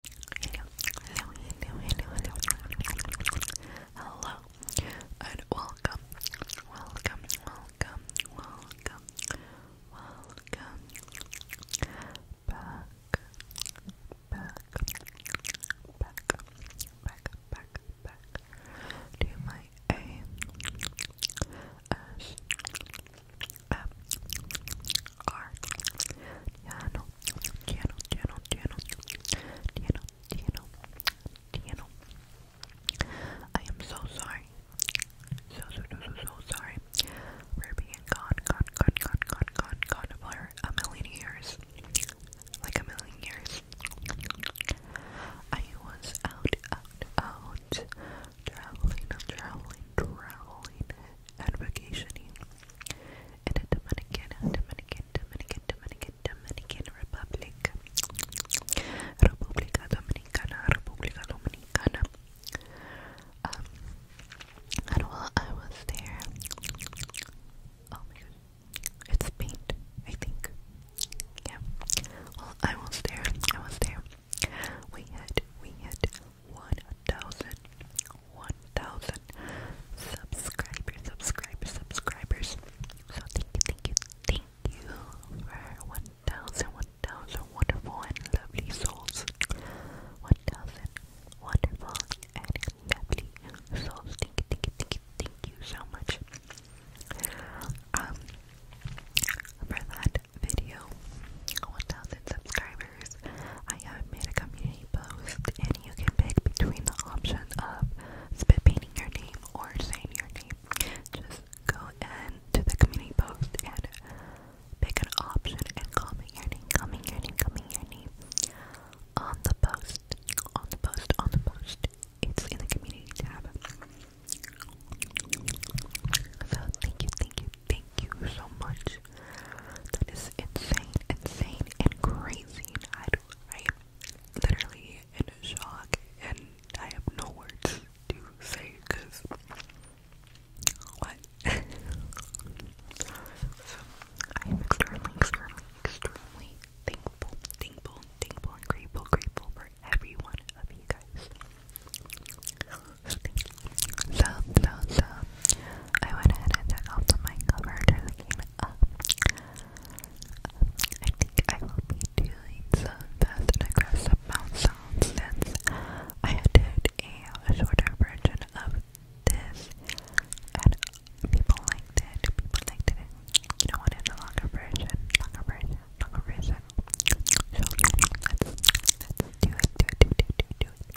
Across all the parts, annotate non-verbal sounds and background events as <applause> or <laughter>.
Hello, hello, and welcome, welcome, welcome, welcome, welcome back, back, back, back, back, back to my A S I am so sorry. So so so so sorry. we being gone, gone, gone, gone, gone, gone, gone for a million years. Like a million years. I was out, out, out, traveling, traveling, traveling, vacationing the Dominican, Dominican, Dominican, Dominican, Dominican Republic, República Dominicana, República Dominicana. Um, and while I was there, oh my god, it's paint, I think. Yeah. Well, I was there. I was there. We had we had 1,000, subscribers, subscribers, subscribers. So thank you, thank you, thank you for 1,000, wonderful and lovely souls. 1,000 wonderful and lovely souls. thank you, thank you, thank you so much. Um, for that video, 1,000 subscribers. I have made a community post and you can pick between the option of spit painting your name or saying your name. Just go in to the community post and pick an option and comment your comment your comment your on the post, on the post, on the post. It's in the community tab. So thank you, thank you, thank you so much that is insane, insane, and crazy. I do, I am literally in shock, and I have no words to say because what? <laughs> so, I am extremely, extremely, extremely thankful, thankful, thankful, grateful, grateful for every one of you guys. So, so, so, I went ahead and took off the cover to came I think I will be doing some fast and aggressive mouth sounds since I did a shorter version of this and people liked it, people liked it, you know what, it's a longer version, longer version, longer version. do it, do it, do it, do it, do it, do it.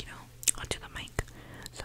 you know, onto the mic. So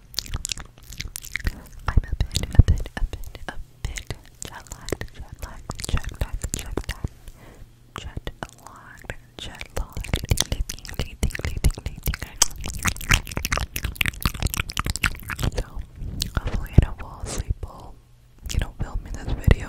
I'm a bit, a bit, a bit, a bit jet lagged, jet lagged, jet lagged, jet lagged, jet lagged, jet lagged, tingly, tingly, tingly, tingly, So, hopefully I don't fall asleep while, you know, filming this video.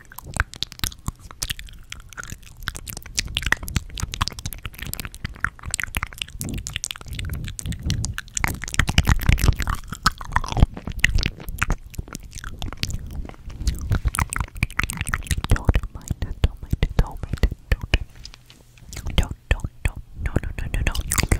Don't mind it, don't mind it, don't mind it, don't. Don't, don't, don't, no, no, no, no, no.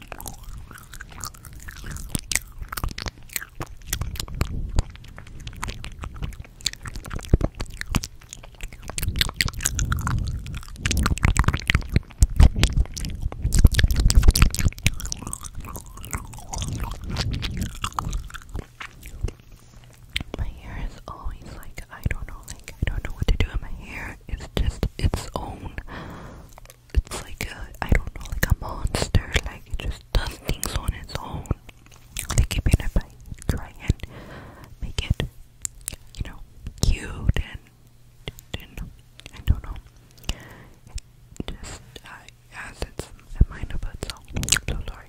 My hair is always like I don't know, like I don't know what to do with my hair. It's just its own. It's like a, I don't know, like a monster. Like it just does things on its own. Like even if I try and make it, you know, cute and, and I don't know. It just uh, has its mind of its own. So sorry.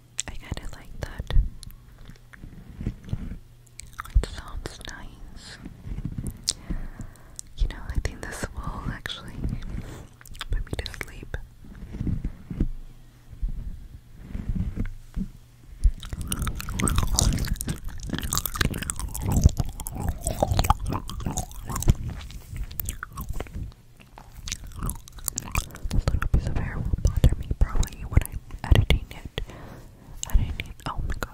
I kind of like that. It sounds nice. You know, I think this will actually put me to sleep. This little piece of hair will bother me probably when I'm editing it. Editing. Oh my god.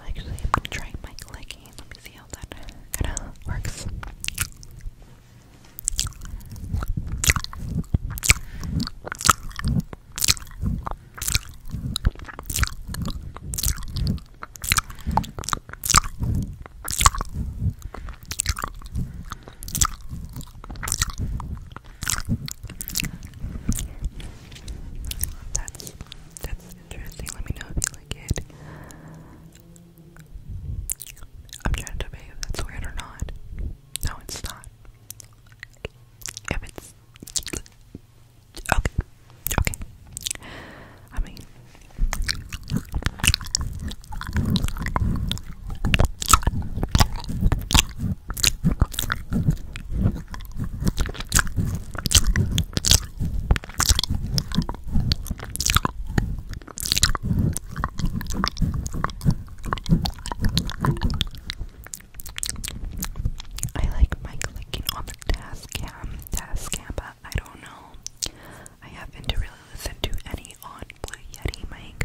Actually, I'm trying my clicking. Let me see how that kind of works. That's that's interesting. Let me know if you like it. I'm trying to debate that's weird or not. No, it's not. If it's okay. Okay. I mean, I like my clicking on the task cam, task cam, but I don't know. I haven't really listened to any on Blue Yeti mic.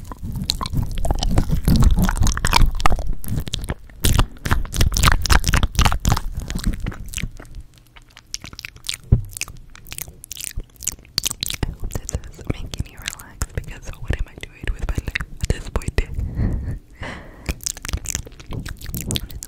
I hope that this is making you relax because what am I doing with my life at this point? <laughs> it's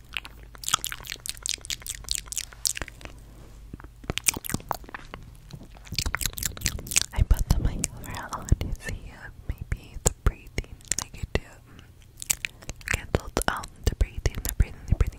I put the mic over on to see maybe breathing, I could do cancelled out the breathing, the breathing, the breathing.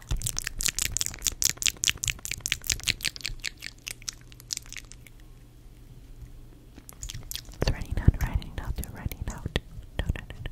It's raining out, raining out, raining out. No, no, no, no, no.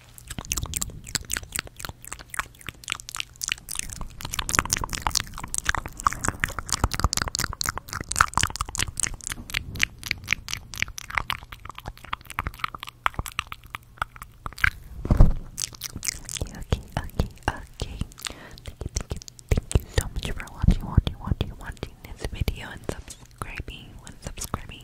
Okay, okay, okay. Thank you, thank you, thank you so much for watching, watching, watching, watching this video and subscribing, and subscribing.